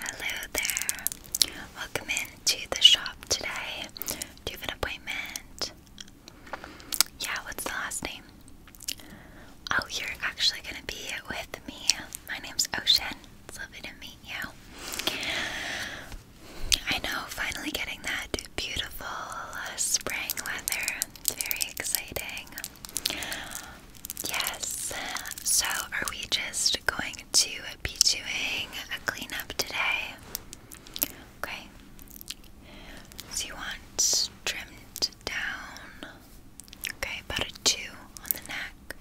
Hello there. Welcome into the shop today. Do you have an appointment? Yeah, what's the last name? Oh, you're actually gonna be with me. My name's Ocean. It's lovely to meet you. I know, finally getting that beautiful spring weather. It's very exciting. Yes. So, are we just just going to be doing a cleanup today. Okay. So you want trimmed down. Okay, about a two on the neck.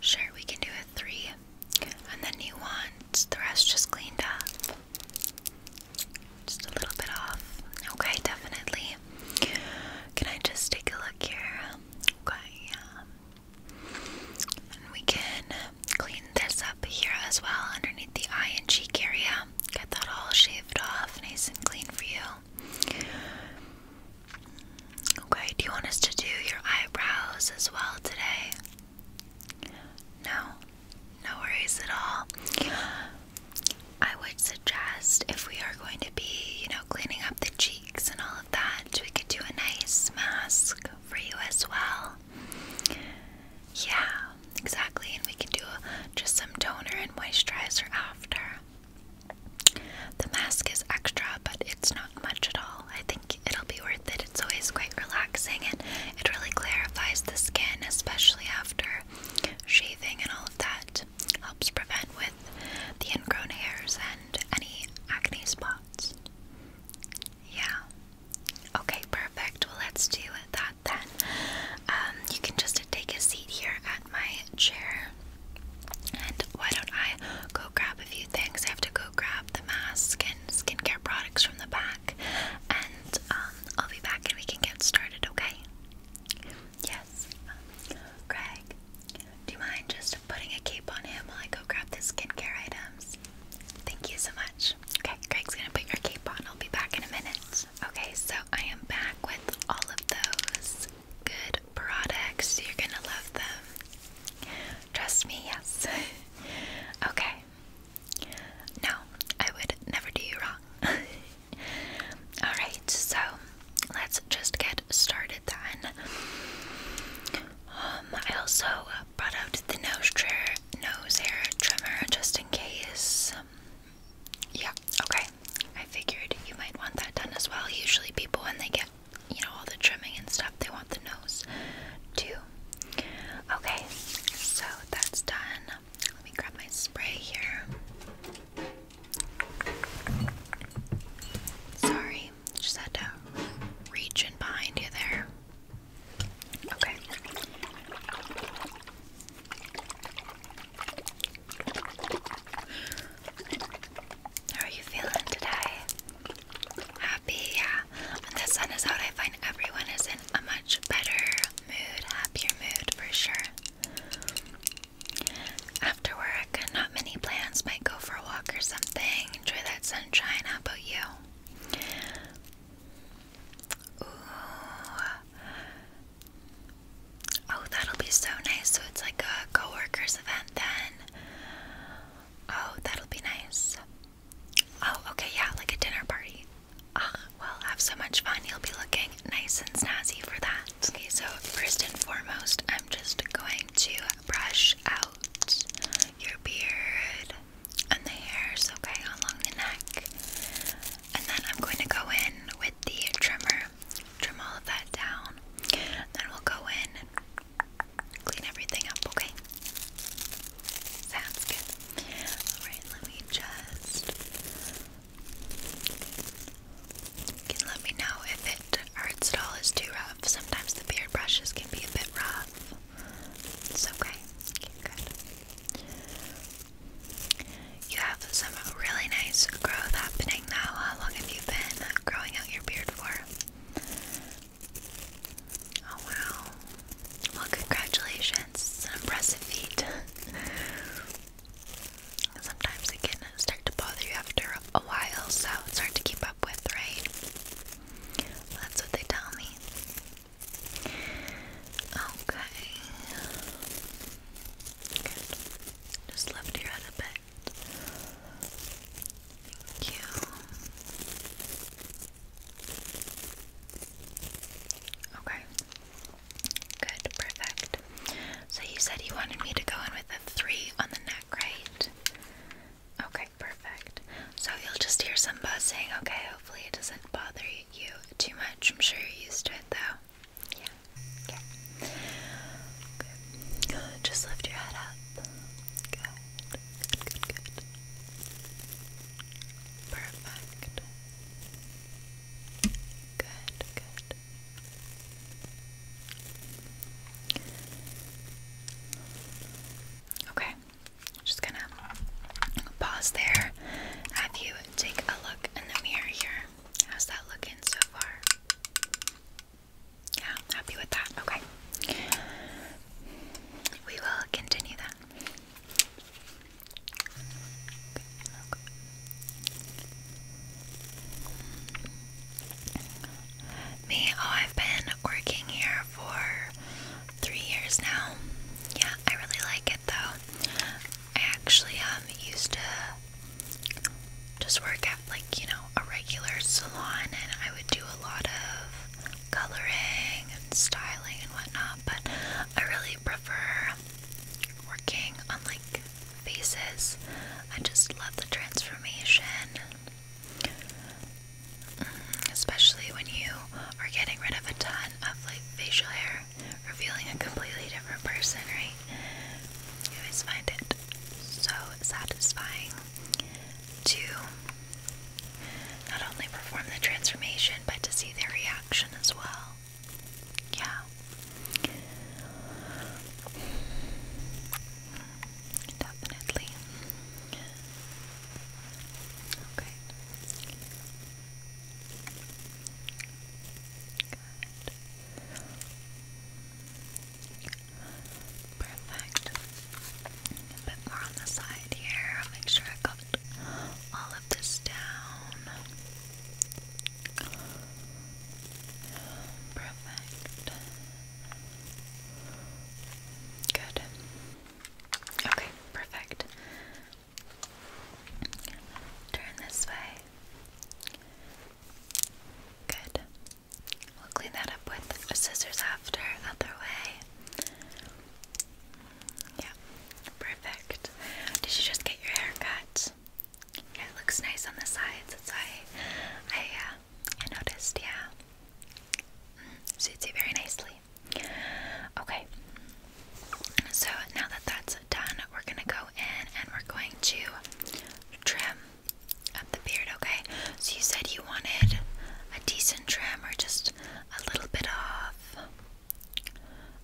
Sure, we can do a three. And then you want the rest just cleaned up. Just a little bit off. Okay, definitely. Can I just take a look here? Okay, yeah. Um, and we can clean this up here as well underneath the eye and cheek area. Get that all shaved off, nice and clean for you. Okay, do you want us to do your eyebrows as well today? No, no worries at all. I would suggest if we are going to be, you know, cleaning up the cheeks and all that. We could do a nice mask for you as well. Yeah, exactly. And we can do just some toner and moisturizer after. The mask is extra, but it's not much at all. I think it'll be worth it. It's always quite relaxing and it really clarifies the skin, especially after shaving and all of that. Helps prevent with the ingrown hairs and any acne spots. Yeah. Okay, perfect. Well, let's do that then. Um, you can just take a seat here at my chair. And why don't I go grab a few things? I have to go grab the mask and skincare products from the back. And um, I'll be back and we can get started, okay? Yes. Um, Greg, do you mind just putting a cape on him while I go grab the skincare items. Thank you so much. Okay, Greg's gonna put your cape on. I'll be back in a minute. Okay, so I am back with all of those good products. You're gonna love them. Trust me, yes. okay. No, I would never do you wrong. Alright, so let's just get started then. Um, I also brought out the nose tr nose hair trimmer just in case. yeah, okay. I figured you might want that done as well. Usually people when they get, you know, all the trimming and stuff, they want the nose too. Okay, so that's done. Let me grab my spray here. Sorry. Just had to reach in behind you there. Okay. How are you feeling today? Happy, yeah. When the sun is out, I find everyone is in a much better mood, happier mood for sure. After work, not many plans might go for a walk or something. Enjoy that sunshine. How about you? Ooh. Oh, that'll be so nice. So it's like a coworkers' event then. Oh, that'll be nice. Oh, okay, yeah, like a dinner party. Ah, well, have so much fun. You'll be looking nice and snazzy for that. Okay, so first and foremost, I'm just going to brush out your beard and the hairs, okay, along the neck. And then I'm going to go in with the trimmer, trim all of that down. Then we'll go in and clean everything up, okay? Sounds good. Alright, let me just. let me know if it our install is too rough. Sometimes the beard brushes can be a bit rough. It's okay. Good. You have some really nice growth happening now. How long have you been growing out your beard for? Oh wow. Well, congratulations. It's an impressive feat. Sometimes it can start to bother you after a while, so it's hard to keep up with, right? that's what they tell me. Okay. Just lift your a bit. Thank you. Okay. Good, perfect. So you said you wanted me to go in with a three on the back, Okay, perfect. So you'll just hear some buzzing, okay? Hopefully it doesn't bother you too much. I'm sure you're used to it though. Yeah. Okay. Just lift your head up. Good, good, good. Perfect. Good, good. Okay, just gonna pause there. Have you take a look in the mirror here. How's that looking so far? Yeah, happy with that. Okay. We will continue that. Me, oh, I've been working here for three years now. Yeah, I really like it though. I actually um used to just work at like you know a regular salon, and I would do a lot of coloring and styling and whatnot. But I really prefer working on like faces. I just love the transformation. Mm, especially when you are getting rid of a ton of like facial hair, revealing a completely different person, right? You always find it so satisfying to not only perform the transformation but to see their reaction as well. Yeah. Definitely. Okay. Good. Perfect. A bit more on the side here. Make sure I got all of this down. Perfect. Good. Okay, perfect. Turn this way. Good. We'll clean that up with scissors after, other way. Yeah, perfect. Did you just get your hair cut? Yeah, it looks nice on the sides. That's why I, uh, I noticed, yeah. Mm, suits you very nicely. Okay, so now that that's done, we're gonna go in and we're going to trim up the beard, okay? So you said you wanted a decent trim or just a little bit off.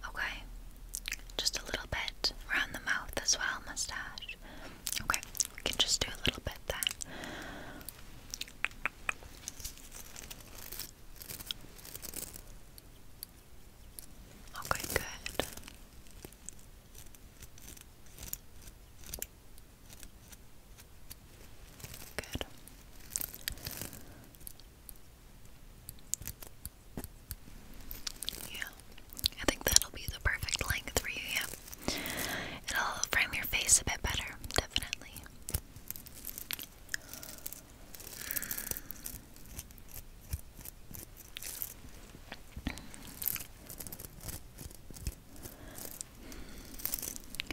Okay, just a little bit around the mouth as well, mustache. Okay, we can just do a little bit then. Okay, good. Good. Yeah. I think that'll be the perfect length for you. Yep. It'll frame your face a bit better, definitely.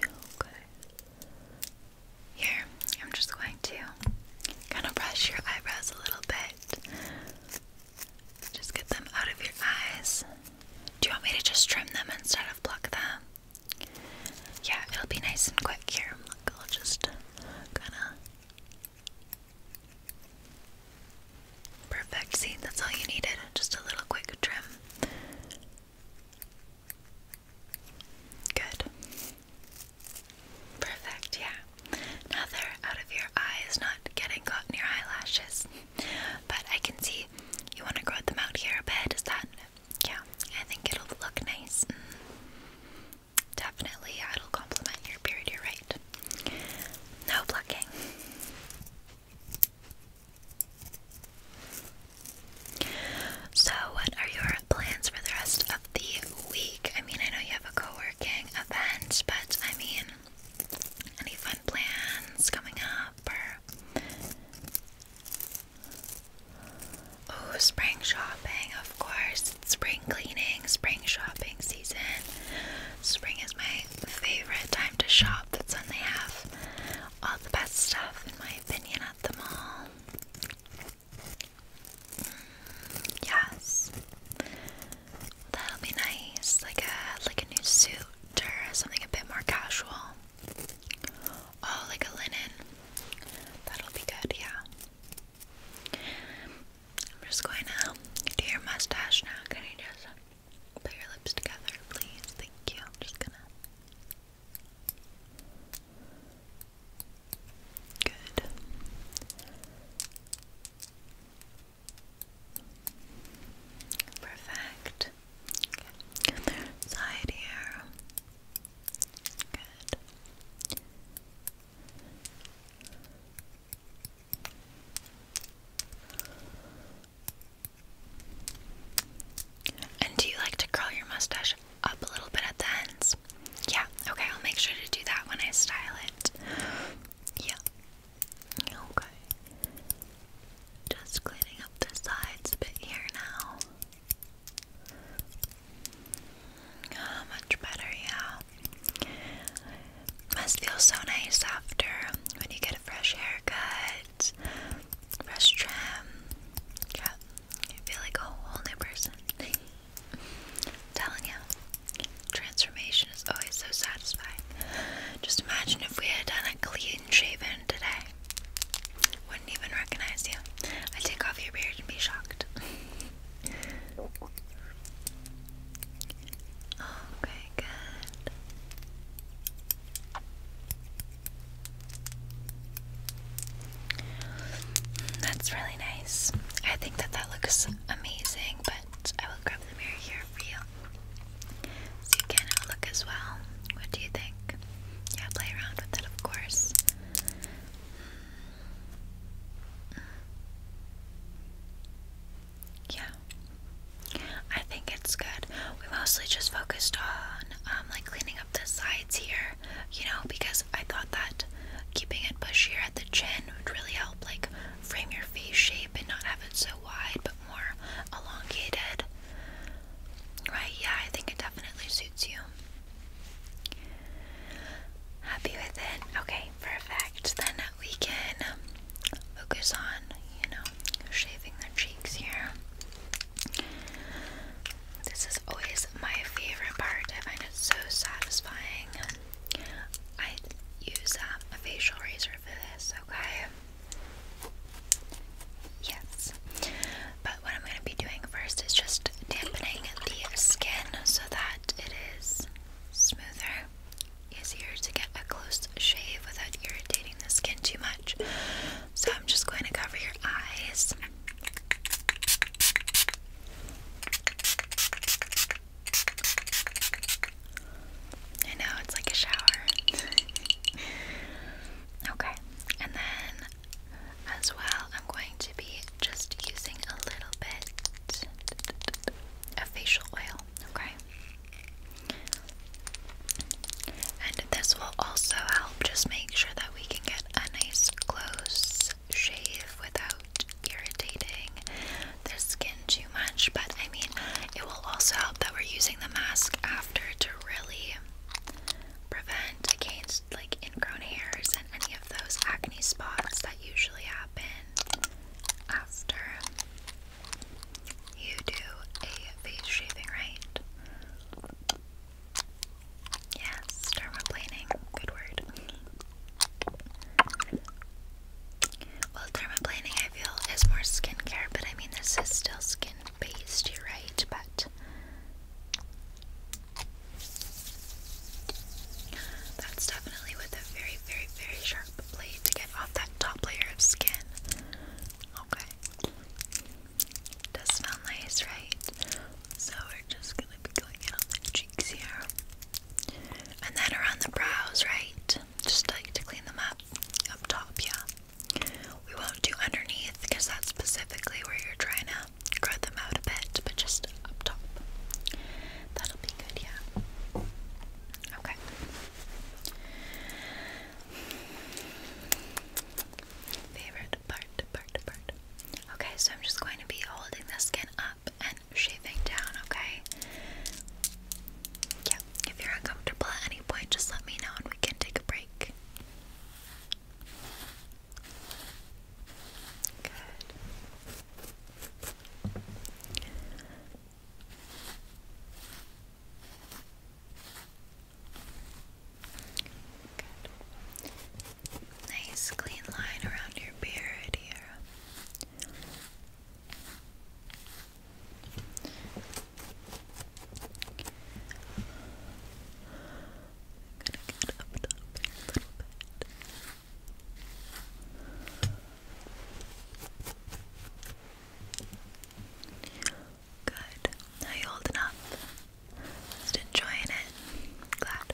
Okay. Here, I'm just going to kind of brush your eyebrows a little bit. Just get them out of your eyes. Do you want me to just trim them instead of block them? Yeah, it'll be nice and quick here. Look, I'll just kinda. Perfect. See, that's all you needed. Just a little quick trim. Good. Perfect, yeah. Now they're out of your eyes, not getting caught in your eyelashes. But I can see you want to grow them out here a bit. Is that? Yeah, I think it'll look nice. Mm. Definitely, yeah, it'll complement your beard. You're right. No plucking. So, what are your plans for the rest of the week? I mean, I know you have a co working event, but I mean, any fun plans coming up? Oh, spring shopping, of course. spring cleaning, spring shopping season. Spring is my favorite time to shop. That's when they have all the best stuff, in my opinion, at the mall. Mm, yes, that'll be nice. Like a like a new suit after something a bit more casual. Oh, like a linen. That'll be good, yeah. I'm just going to do your mustache now. Can you just put your lips together, please? Thank you. just gonna. Good. Perfect. side here. Good. And do you like to curl your mustache up a little bit at the ends? Yeah, okay, I'll make sure to do that when I style it. Yeah, Okay. Just cleaning up the sides a bit here now. Ah, much better, yeah. Must feel so nice after when you get a fresh haircut, fresh trim. Yeah, you feel like a whole new person. telling you, transformation is always so satisfying. Just imagine if we had done a clean shaven today. Wouldn't even recognize you. I take off your beard and be shocked. okay, good. That's really nice. I think that that looks amazing, but I will grab the mirror here for you. can look as well. What do you think? Yeah, play around with it, of course. Yeah, I think it's good. We mostly just focused on um, like cleaning up the sides here, you know, because I thought that keeping it bushier at the chin would really help, like frame your face shape and not have it so wide, more elongated. Right? Yeah, I think it definitely suits you. Happy with it? Okay, perfect. Then we can focus on, you know, shaving the cheeks here. This is always my favorite part. I find it so satisfying. I use um, a facial razor for this, okay? Yes. But what I'm going to be doing first is just dampening the skin so that it is smoother, easier to get a close shave without irritating the skin too much. So I'm just going to cover your eyes. I know, it's like a shower. okay, and then as well, I'm going to be just using a little bit of facial oil, okay? And this will also help just make sure that we can get a nice close shave without irritating their skin too much. But I I mean, it will also help that we're using the mask after to really prevent against like ingrown hairs and any of those acne spots that usually happen after you do a face shaving, right? Yes, dermaplaning, good word. Well, thermoplaning I feel is more skincare, but I mean this is still skin based, you're right, but that's definitely with a very, very, very sharp blade to get off that top layer of skin. Okay. does smell nice, right? So we're just gonna be going out the cheeks here. And then around the brows, right? Just like to clean them up. Up top, yeah. We won't do underneath because that's specifically where you're trying to grow them out a bit, but just up top. That'll be good, yeah. Okay. Favorite part, part, part. Okay, so I'm just going to be holding the skin up and shaving down, okay? Yeah, if you're uncomfortable at any point, just let me know and we can take a break. Good. Good. Nice clean line around your beard here get Good. Now you holding up. Just enjoying it. Glad.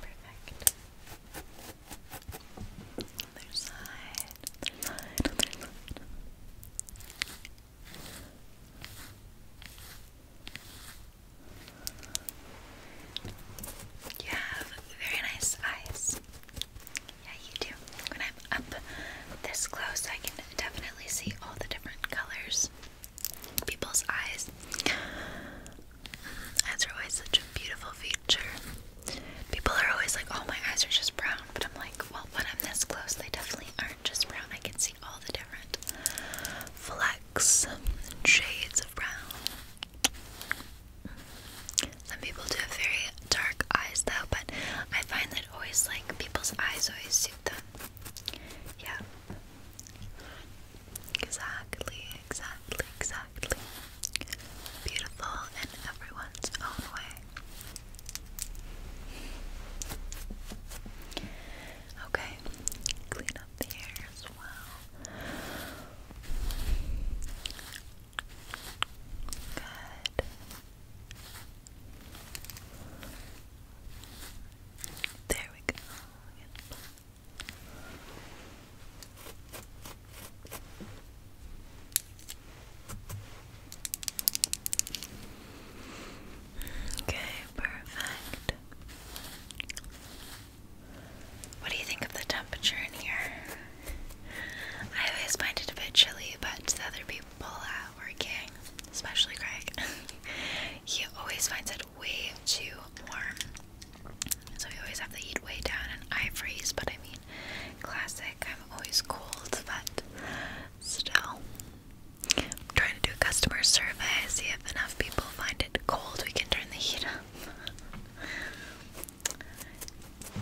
Perfect. You have very nice eyes. Yeah, you do. When I'm up this close, I can definitely see all the different colors. People's eyes Eyes are always such a beautiful feature. People are always like, oh, my eyes are just brown. But I'm like, well, when I'm this close, they definitely aren't just brown. I can see all the different flecks and shades of brown. Some people do have very dark eyes, though, but I find that always, like, people's eyes always suit them. Yeah. Exactly, exactly, exactly. Beautiful in everyone's own way. Okay, clean up the hair as well. Good. There we go. Okay, perfect. What do you think of the temperature in here? I always find it a bit chilly, but the other people at working, especially Greg, he always finds it way too warm. So we always have the heat way down and I freeze, but I mean, classic. I'm always cold, but still. I'm trying to do a customer survey, see if enough people find it cold, we can turn the heat up.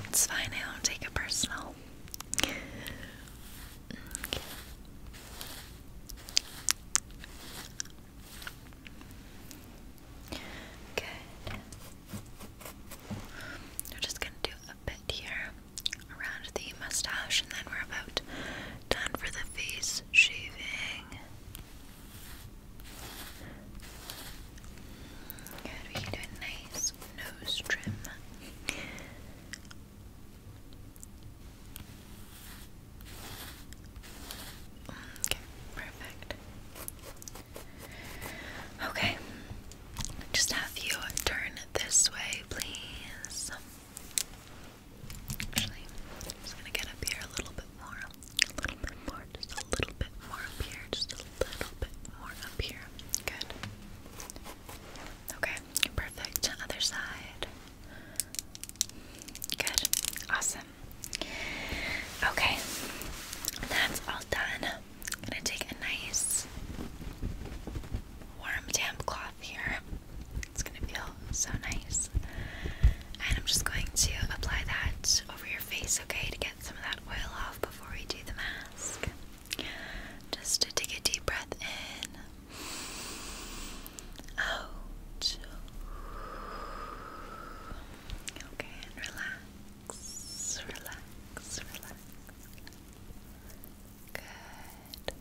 It's fine, I don't take it personal. Good. We're just gonna do a bit here around the mustache, and then we're about done for the face shaving. Good, we can do a nice nose trim. Mm, okay, perfect. Okay, just have you turn this way, please. Actually, I'm gonna get up here a little bit more, a little bit more, just a little bit more up here, just a little bit more up here. Good. Okay, perfect. Other side. Good. Awesome. Okay, that's all done. I'm gonna take a nice warm damp cloth here. It's gonna feel so nice. And I'm just going to apply that over your face, okay, to get some of that oil off before we do the mask. Just to take a deep breath in. Out. Okay, and relax relax, relax, Good.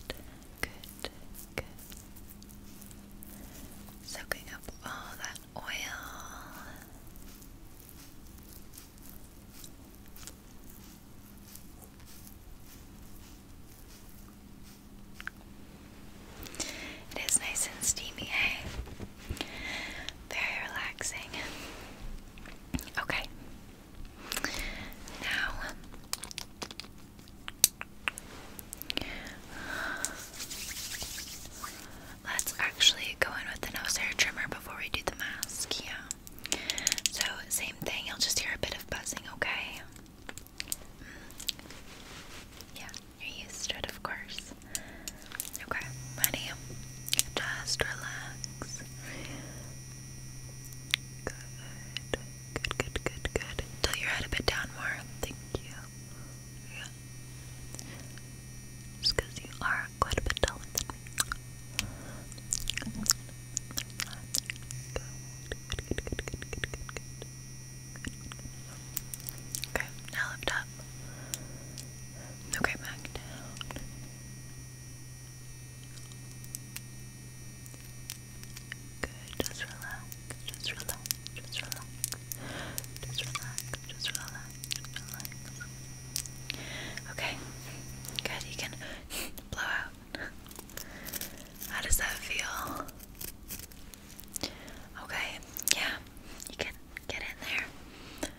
Good, good, Soaking up all that oil. It is nice and steamy, hey? Eh? Very relaxing. Okay. Now, let's actually go in with the nose hair trimmer before we do the mask. Yeah. So, same thing, you'll just hear a bit of buzzing, okay? Yeah, you're used to it, of course. Okay, ready? Just relax. Good, good, good, good, good. Tilt your head a bit down more. Thank you. Yeah. Just you are quite a bit taller than me. good, good, good, good, good, good, good. Okay, now lift up. Okay, back down. Good, just relax, just relax, just relax. Just relax, just relax, relax. Okay, good, you can blow out. How does that feel? Okay, yeah, you can get in there.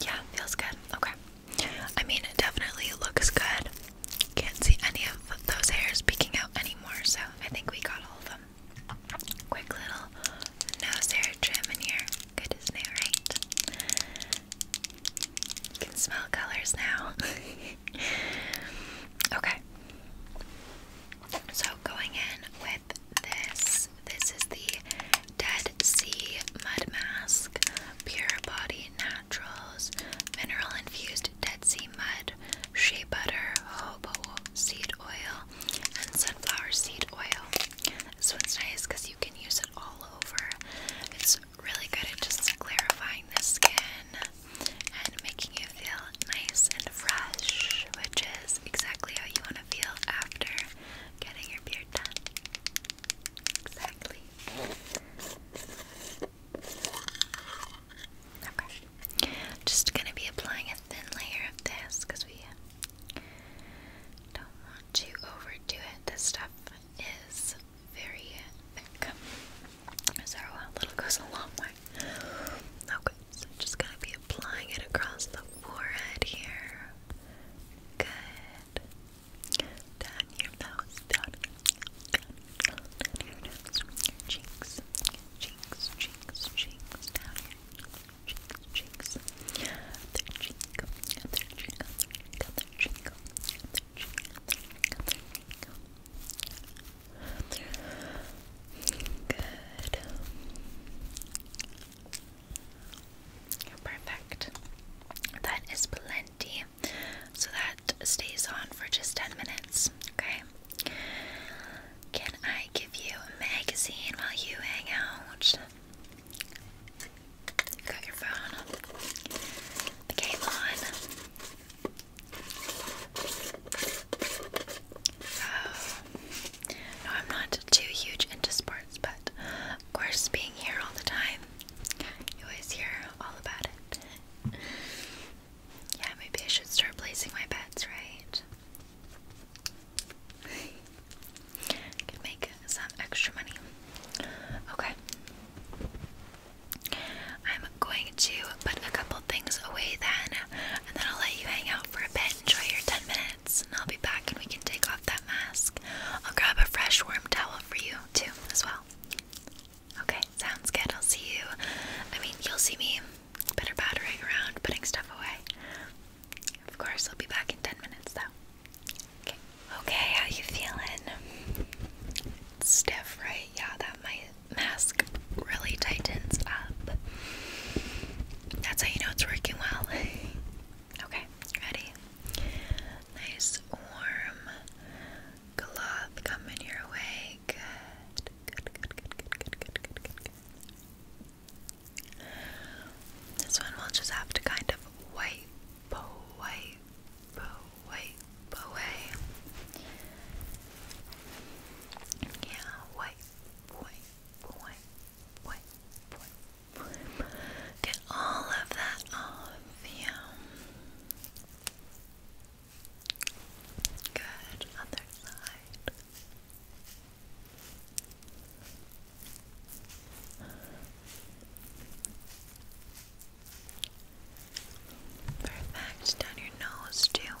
Yeah, feels good. Okay. I mean, it definitely looks good. Can't see any of those hairs peeking out anymore, so I think we got all of them. Quick little nose hair trim in here. Good, isn't it, right? You can smell colors now. okay. So going in with this, this is the Dead Sea Mud Mask, Pure Body Naturals, Mineral Infused Dead Sea Mud, Shea Butter, Hobo Seed Oil, and Sunflower Seed Oil. This one's nice because you can use it all over. It's really good at just clarifying the skin, and making you feel nice and fresh, which is exactly how you want to feel after getting your beard done. Exactly. Okay. Just gonna be applying a thin layer of this because we don't want to overdo it. This stuff is very thick. So a little goes a long way. Okay, so I'm just gonna be applying it across the forehead here. Good. Down your nose, down, down, down your nose, your cheeks, cheeks, cheeks, cheeks, down your cheeks, cheeks, other cheek, other cheek, other cheek, other cheek, other cheek, other cheek, other cheek, other cheek, Good. Perfect. That is plenty. So that stays on for just 10 minutes, okay? Can I give you a magazine while you hang out? You got your phone? The game on. no, I'm not too huge into sports, but of course, being here all the time, you always hear all about it. yeah, maybe I should start placing my bets, right? I make some extra money. Okay. I'm going to put a couple things away then, and then I'll let you hang out for a bit, enjoy your 10 minutes, and I'll be back and we can take off that mask. I'll grab a fresh warm towel for you too, as well. Okay, sounds good. I'll see you. I mean, you'll see me better battering around, putting stuff away. Of course, I'll be back in 10 minutes though. Okay, okay how you feeling? Stiff, right? Yeah, that might mask really tightens up. That's how you know it's working well. okay, ready? Nice warm cloth coming your way. Good. Good, good, good, good, good, good, good, good, This one we'll just have to kind of wipe, wipe, wipe away. Yeah, white, white, white, white, white, white. Get all of that off. Yeah. Good. Other side. Perfect. Down your nose too.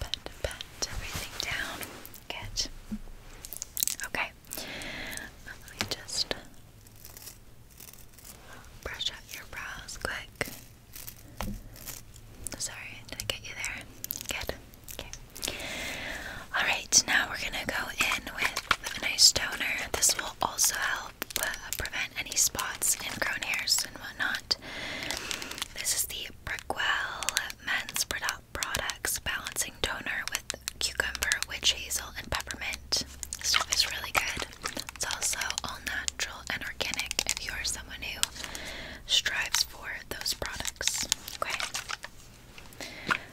pat, everything down. Good. Okay. let me just brush out your brows quick. Sorry, did I get you there? Good. Okay. Alright, now we're gonna go in with a nice toner. This will also help uh, prevent any spots and grown hairs and whatnot. This is the Brickwell men's products balancing toner with cucumber, witch hazel, and peppermint. This stuff is really good. It's also all natural and organic if you are someone who strives for those products. Okay.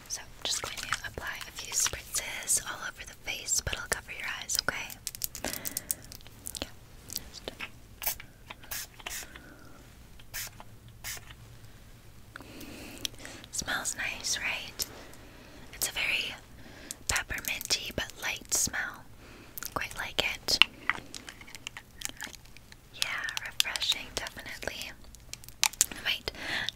So I'm just going to apply a few spritzes all over the face, but it'll cover your eyes, okay? Just Smells nice, right? It's a very pepperminty but light smell. Quite like it. Yeah, refreshing, definitely. might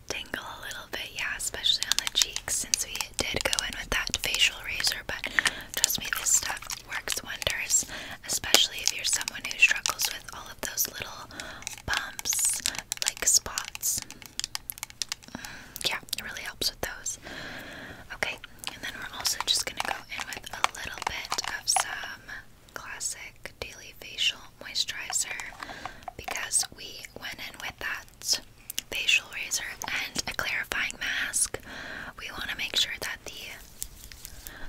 tingle a little bit, yeah, especially on the cheeks since we did go in with that facial razor, but trust me, this stuff works wonders, especially if you're someone who struggles with all of those little bumps, like spots. Mm, yeah, it really helps with those. Okay, and then we're also just gonna go in with a little bit of some classic daily facial moisturizer because we went in with that facial razor and a clarifying mask. We want to make sure that the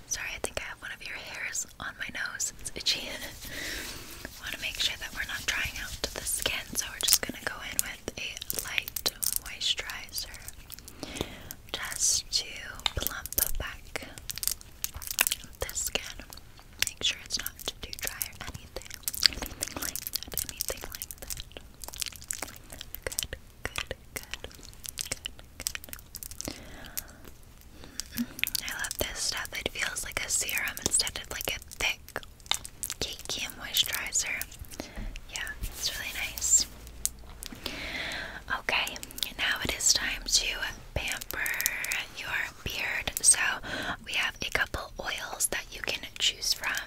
Sorry, I think I have one of your hairs on my nose. It's itchy. I want to make sure that we're not drying out the skin, so we're just going to go in with a light moisturizer just to plump back the skin. Make sure it's not too dry or anything. like Anything like that. Good, good, good, good, good. Mm-hmm. I love this stuff. It feels like a serum instead of like a thick cakey moisturizer. Yeah, it's really nice. Okay, now it is time to pamper your beard. So we have a couple oils that you can choose from.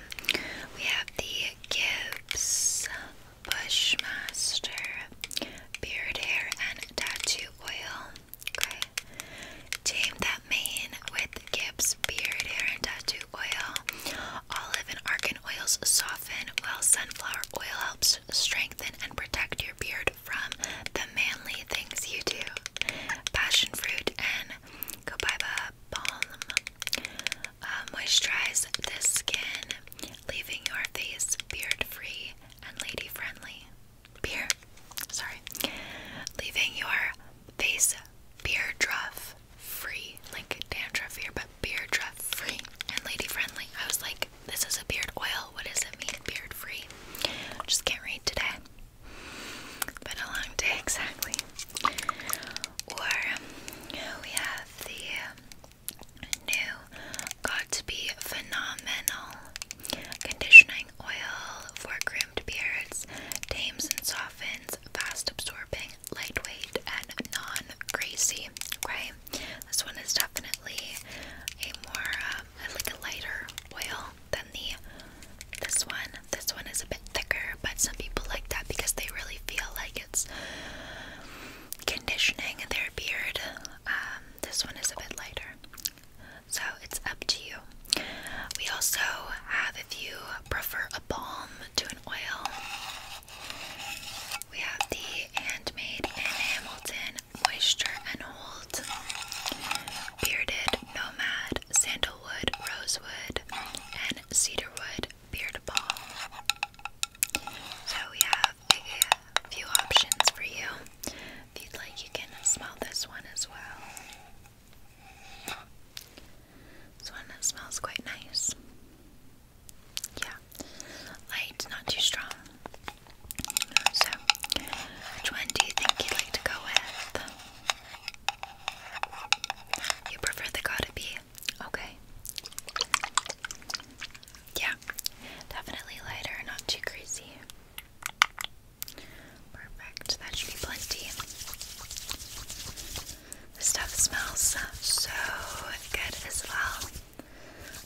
We have the Gibbs Bushmaster beard hair and tattoo oil. Okay. Tame that mane with Gibbs beard hair and tattoo oil. Olive and argan oils soften, while sunflower oil helps strengthen and protect your beard from the manly things you do. Passion and copaiba balm uh, Moisturizes the skin, leaving your face beard free and lady friendly. Beard, sorry, leaving your face beard rough free, like dandruff here, but beard rough free and lady friendly. I was like, this is a beard oil. What does it mean, beard free? Just can't read today. Been a long day, exactly. Or we have the um, New Got to Be Phenomenal Conditioning Oil for Crimped Beards, tames and softens, fast absorbing, lightweight, and non greasy. Okay, this one is definitely a more uh, like a lighter oil than the this one. This one is a bit thicker, but some people like that because they really feel like gets conditioning in their beard. Um, this one is a bit lighter. So it's up to you. We also have, if you prefer a balm to an oil, we have the Handmade in Hamilton Moisture and Hold Bearded Nomad Sandalwood, Rosewood, and Cedarwood beard ball. So we have a few options for you. If you'd like, you can smell this one as well. This one smells quite nice. Yeah, light, not too strong. So, which one do you think you'd like to go with? You prefer the gotta be Okay. Yeah, definitely lighter, not too greasy. Perfect. That should be plenty. This stuff smells so good as well.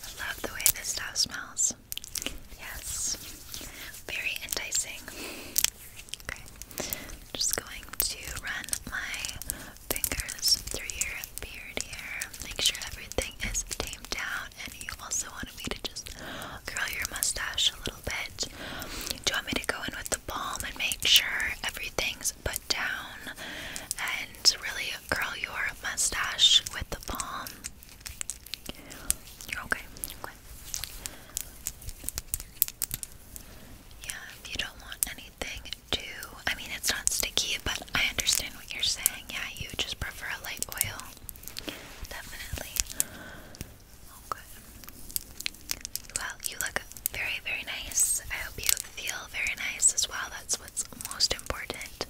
I love the way this stuff smells. Yes, very enticing. Okay, just going to run my fingers through your beard here. Make sure everything is tamed down, and you also wanted me to just curl your mustache a little bit. Do you want me to go in with the balm and make sure everything's put down and really curl your mustache with the balm? okay. Yeah, if you don't want any anything to, I mean, it's not sticky, but I understand what you're saying. Yeah, you just prefer a light oil. Definitely. Okay. Oh, well, you look very, very nice. I hope you feel very nice as well. That's what's most important.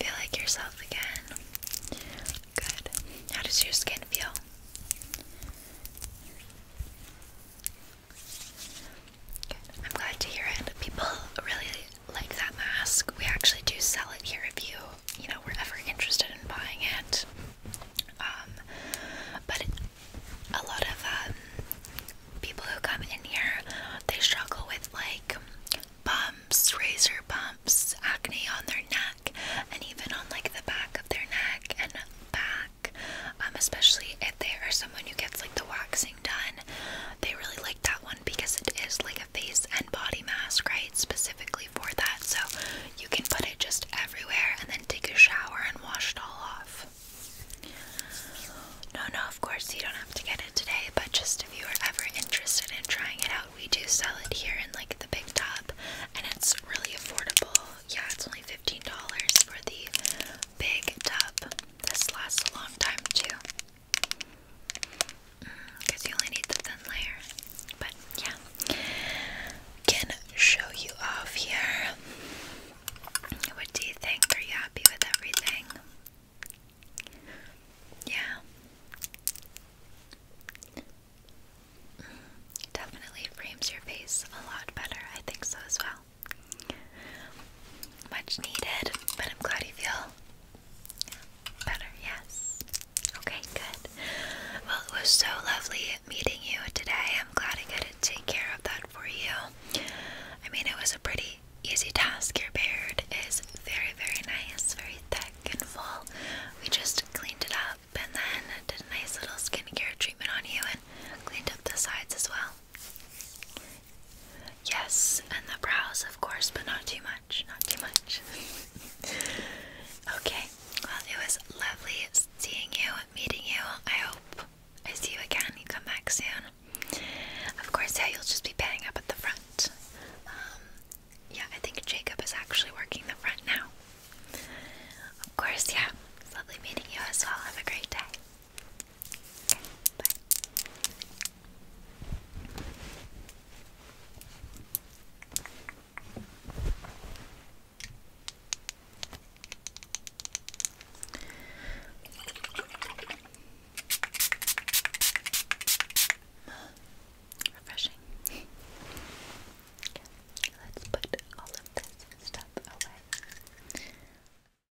Feel like yourself again. Good. How does your skin feel? I'm glad to hear it. People really like that mask. We actually do sell it here if you, you know, we're ever interested in buying it. Um, but a lot of um, people who come in here, they struggle with like bumps, razor bumps, acne on their neck, and even on like the back of their neck and back. Um, especially if they are someone who gets like the wax done. They really like that one because it is like a face and body mask, right? Specifically for that. So you can put it just everywhere and then take a shower and wash it all off. No, no, of course you don't have to get it today, but just if you are ever interested in trying it out, we do sell it here in like the big tub and it's really affordable. Yeah, it's only $15 for the big tub. This lasts a long time too. Because mm, you only need the thin layer. But yeah. Can show you off here. What do you think? Are you happy with everything? Yeah. Mm, definitely frames your face a lot better. I think so as well. Much needed, but I'm glad you feel better, yes. Okay, good. Well, it was so lovely meeting you today. I'm glad I got to take care of that for you. I mean, it was a pretty easy task. Your beard is very, very nice, very thick and full. We just cleaned it up and then did a nice little skincare treatment on you and cleaned up the sides as well. Yes, and the brows, of course, but not too much. Not too much. okay, well, it was lovely seeing you, meeting you. I hope I see you again. come back soon. Of course, yeah, you'll just be paying up at the front. Um, yeah, I think Jacob is actually working the front now. Of course, yeah. lovely meeting you as well. Have a great day. Refreshing. okay, let's put all of this stuff away.